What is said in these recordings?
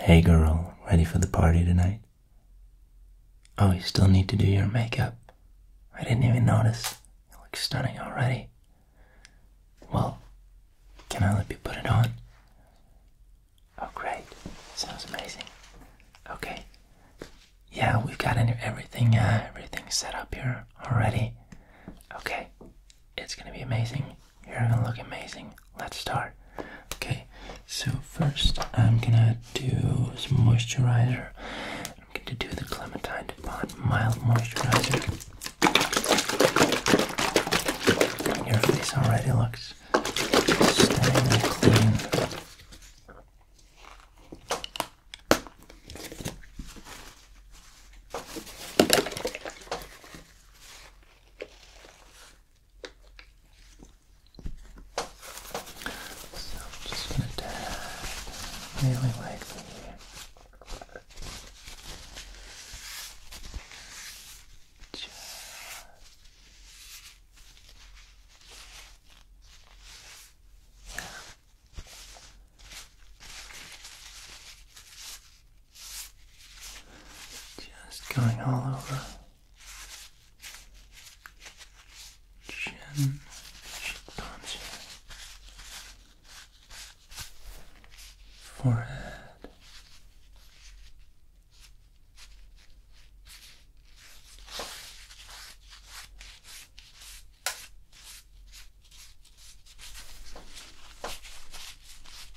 Hey girl, ready for the party tonight? Oh, you still need to do your makeup. I didn't even notice. You look stunning already. Well, can I let you put it on? Oh, great. Sounds amazing. Okay. Yeah, we've got uh, everything set up here already. Okay. It's gonna be amazing. You're gonna look amazing. Let's start. Okay, so first I'm gonna do some moisturizer. I'm gonna do the Clementine DuPont mild moisturizer. Your face already looks clean. So I'm just gonna dab really lightly yeah. Just going all over chin, cheekbones here, forehead,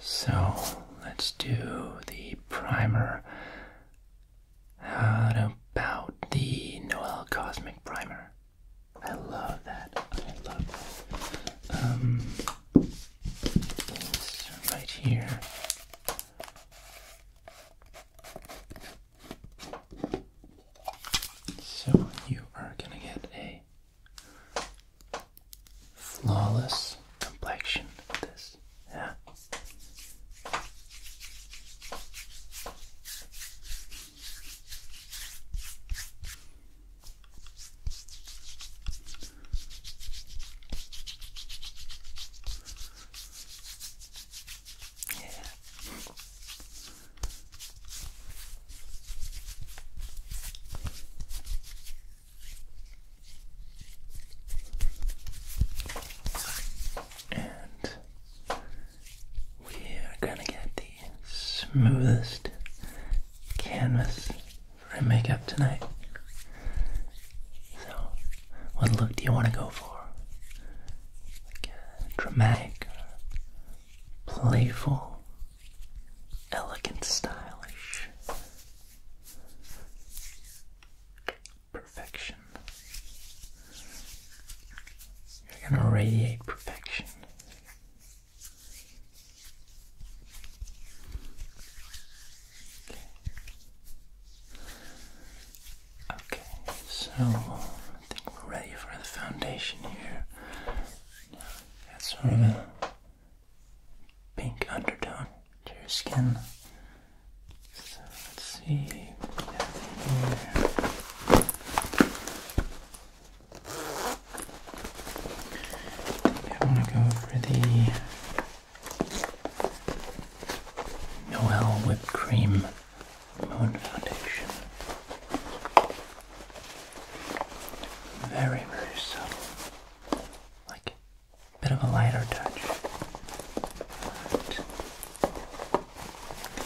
So let's do the primer. How about the Noel Cosmic Primer? I love that. I love that. Um, right here. So you are gonna get a Flawless complexion, this, yeah. Yeah. And we are going to get the smoothest canvas for makeup tonight. So, what look do you want to go for? Like dramatic, playful, Elegant, stylish. Perfection. You're going to radiate perfection. Okay, so I think we're ready for the foundation here. That's sort of pink undertone to your skin. So let's see I want to go for the Noel Whipped Cream Moon Foundation. Very, very subtle. Like bit of a lighter touch.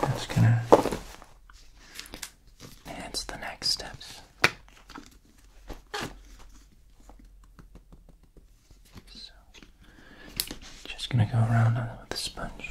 But gonna enhance the next steps. So, just gonna go around with the sponge.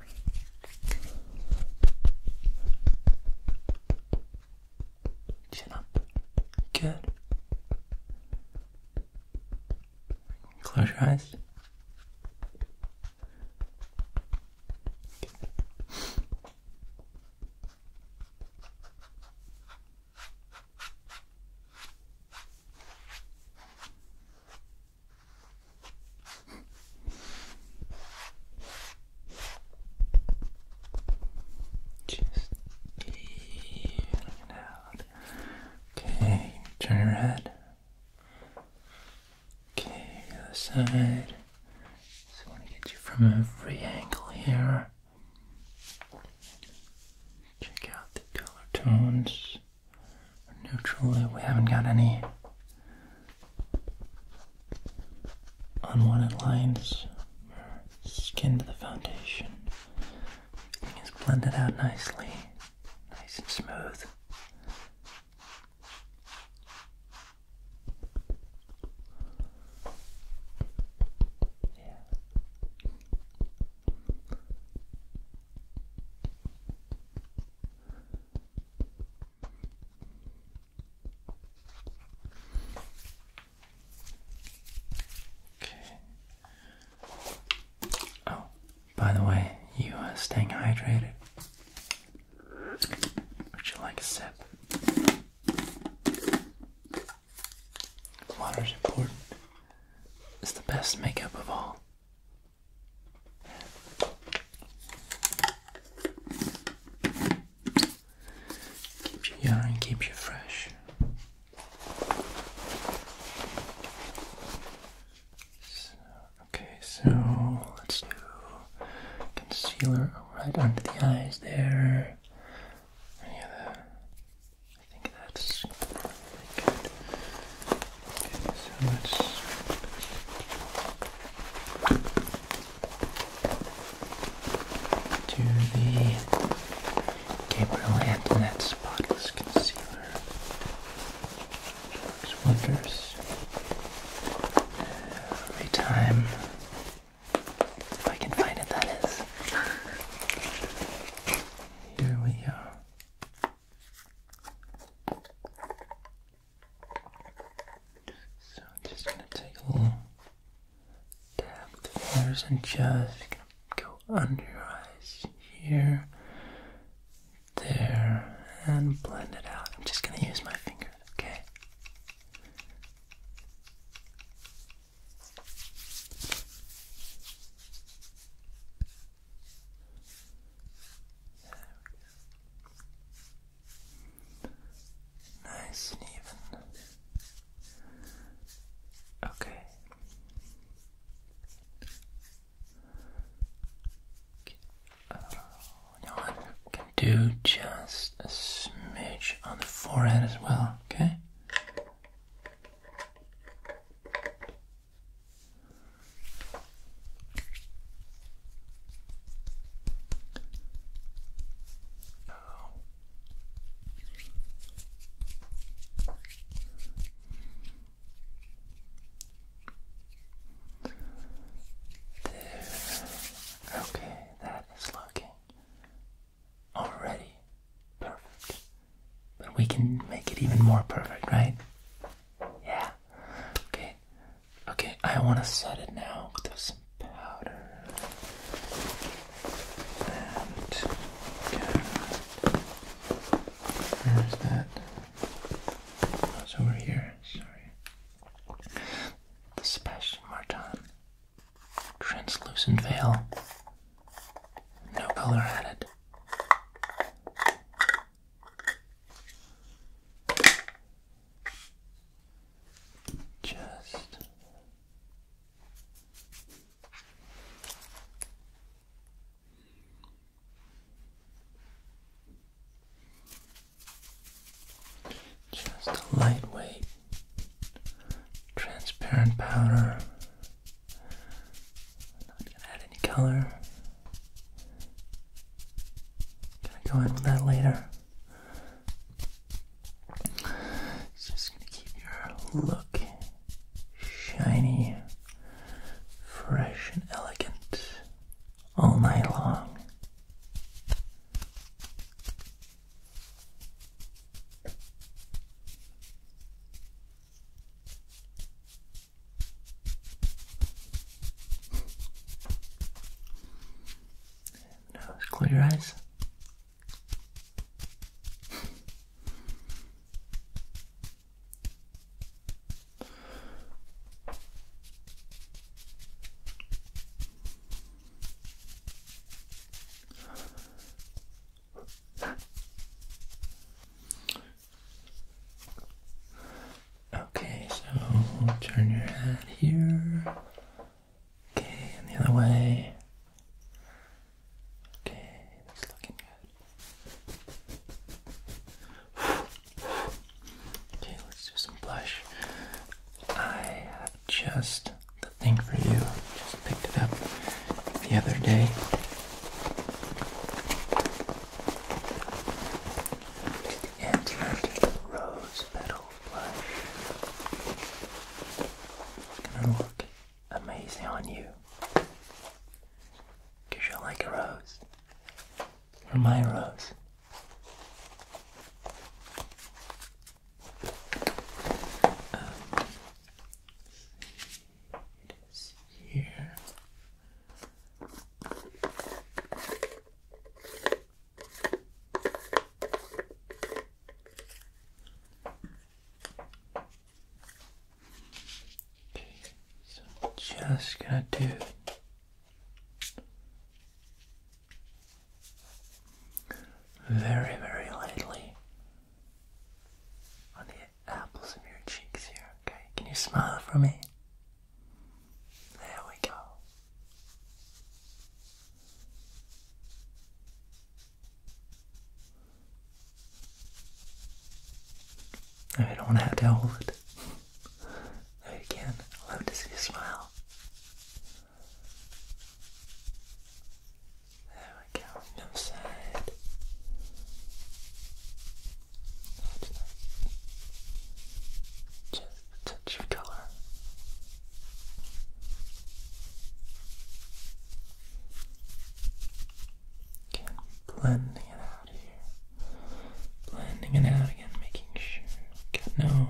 Chin up. Good. Close your eyes. Just even it Okay, turn your head. Okay, the other side. Just want to get you from every angle here. Check out the color tones neutral. We haven't got any unwanted lines skin to the foundation. Everything is blended out nicely, nice and smooth. Yeah. Okay. Oh, by the way, you are uh, staying hydrated. Would you like a sip? Water is important. It's the best makeup of all. Keeps you young and keeps you fresh. okay, so let's do concealer right under the eyes there. I think that's to the Gabriel Antoinette Spotless Concealer. Works wonders. Every time, if I can find it, that is. Here we are. So I'm just gonna take a little dab with the fingers and just go under your eyes here, there, and blend it out. I'm just gonna use my fingers, okay? There we Nice and even. Okay. Uh, can do just a smidge on the forehead as well, okay? There. Okay, that is looking already perfect. But we can make it even more perfect, right? Yeah. Okay. Okay, I want to set it now with some powder. And. Good. Where's that? Oh, it's over here. Sorry. The Sebastian Martin translucent veil. No color added. Just just a lightweight transparent powder I'm not gonna add any color. Gonna go in with that later. It's just gonna keep your look shiny, fresh, and elegant all night long. Now close your eyes. Okay, so turn your head here. Okay, and the other way. Okay, that's looking good. Okay, let's do some blush. I have just the thing for you. Just picked it up the other day. Answered rose petal blush. Gonna look amazing on you. Cause you're like a rose. you my rose. Um, it is here. Okay, so just gonna do very, very lightly on the apples of your cheeks here, okay? Can you smile for me? There we go. I don't want to have to hold it. There you can. Love to see you smile. There we go, no side. Just touch of color. Okay, blending it out here. Blending it out again, making sure got no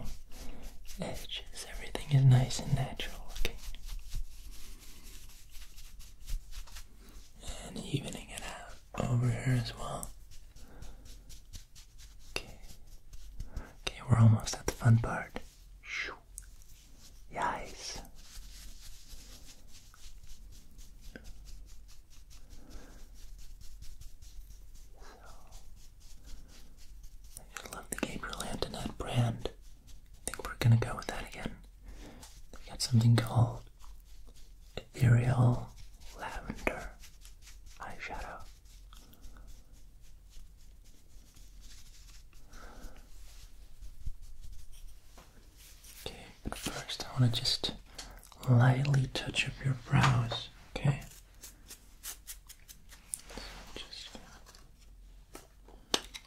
edges. Everything is nice and natural looking and evening it out over here as well. Okay, okay, we're almost at the fun part. Shoo. Yes. So, I love the Gabriel Antoinette brand. I think we're gonna go with that again. We got something called Ethereal Lavender Eyeshadow. Okay, but first I wanna just lightly touch up your brows, okay? just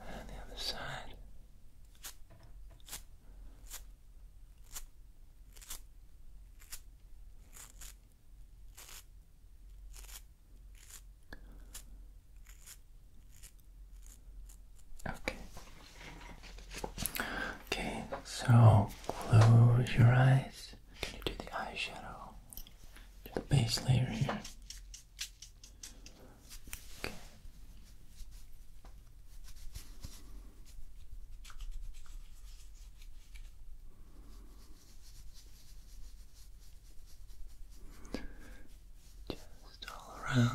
And the other side. Okay. Okay, so close your eyes. Can you do the eyeshadow? the base layer here. Okay. Just all around.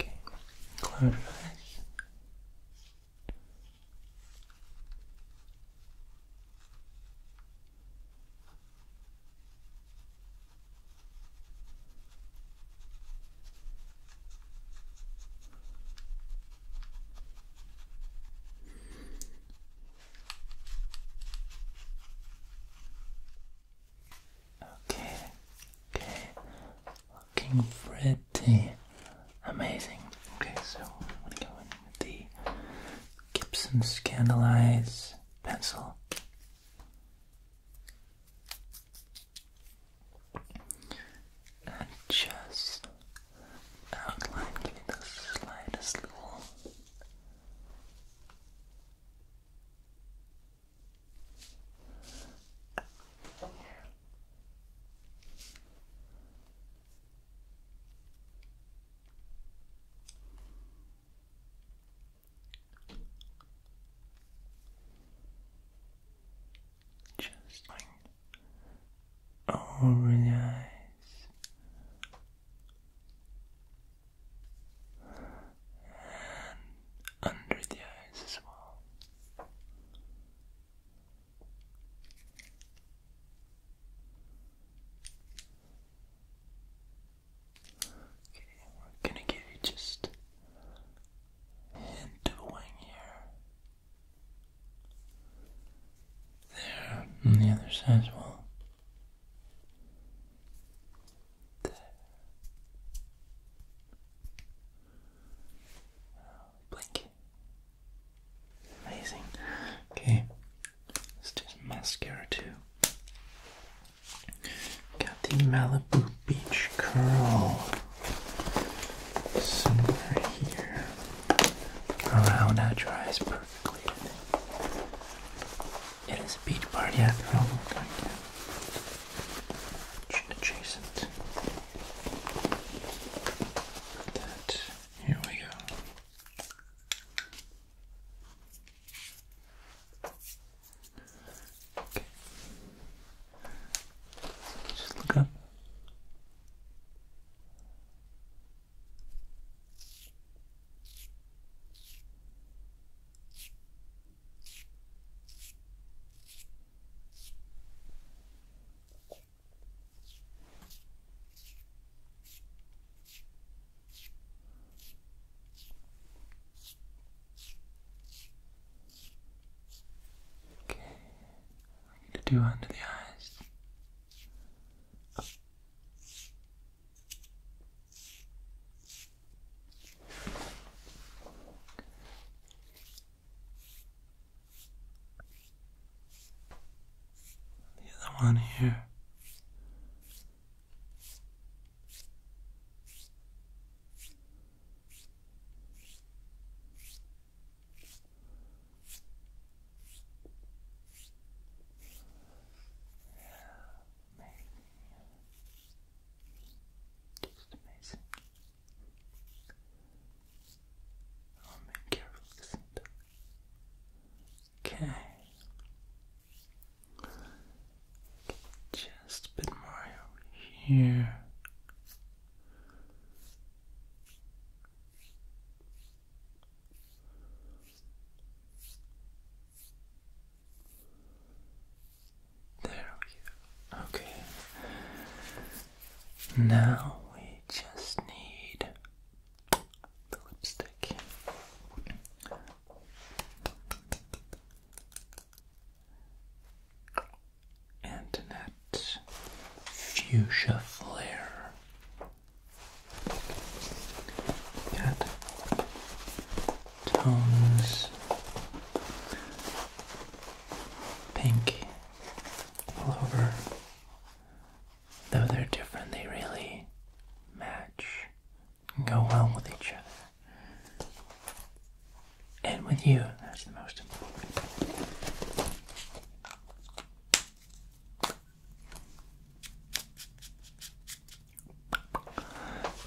Okay, close your eyes. Okay, okay, looking pretty amazing. Okay, so I'm gonna go in with the Gibson Scandalize pencil and just outline, give it the slightest little just going or relax and under the eyes as well. Okay, we're gonna give you just a hint wing here. There on the other side as well. Blink. Amazing. Okay, let's do mascara too. Got the Malibu beach curl somewhere here. Around oh, that dries perfectly, It is a beach party after all, we're going to adjacent. here we go. Okay. Just look up. Okay, I need to do under the eyes. The other one here. Yeah, amazing. Just amazing. I'll make careful this Okay. Just a bit more here. There we go. Okay. Now we just need the lipstick. Antoinette Fuchsia Flare. Got tones pink all over. Though they're different, they really match and go well with each other and with you. That's the most important.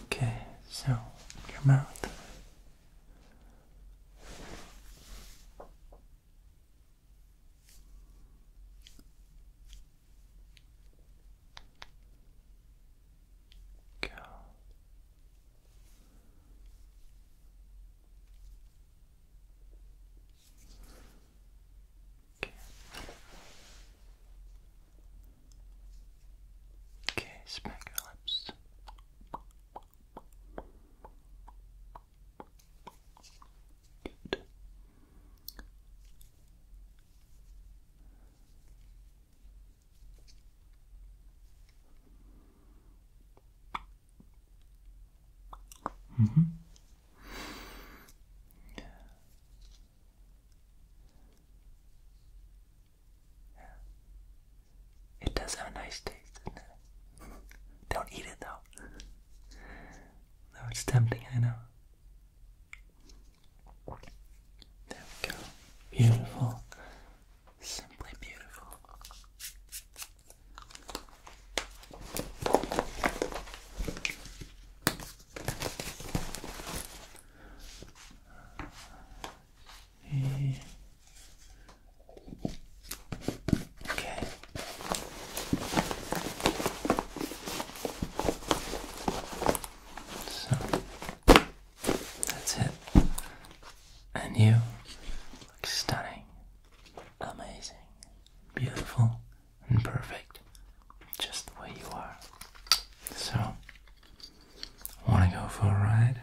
Okay, so your mouth go. Okay. okay, smack your lips. Good. Mm -hmm. It does have a nice taste, doesn't it? Don't eat it though. Though it's tempting, I know. There we go. Beautiful. Simply beautiful. Okay. So that's it. And you look stunning, amazing, beautiful, and perfect, just the way you are. So, wanna go for a ride?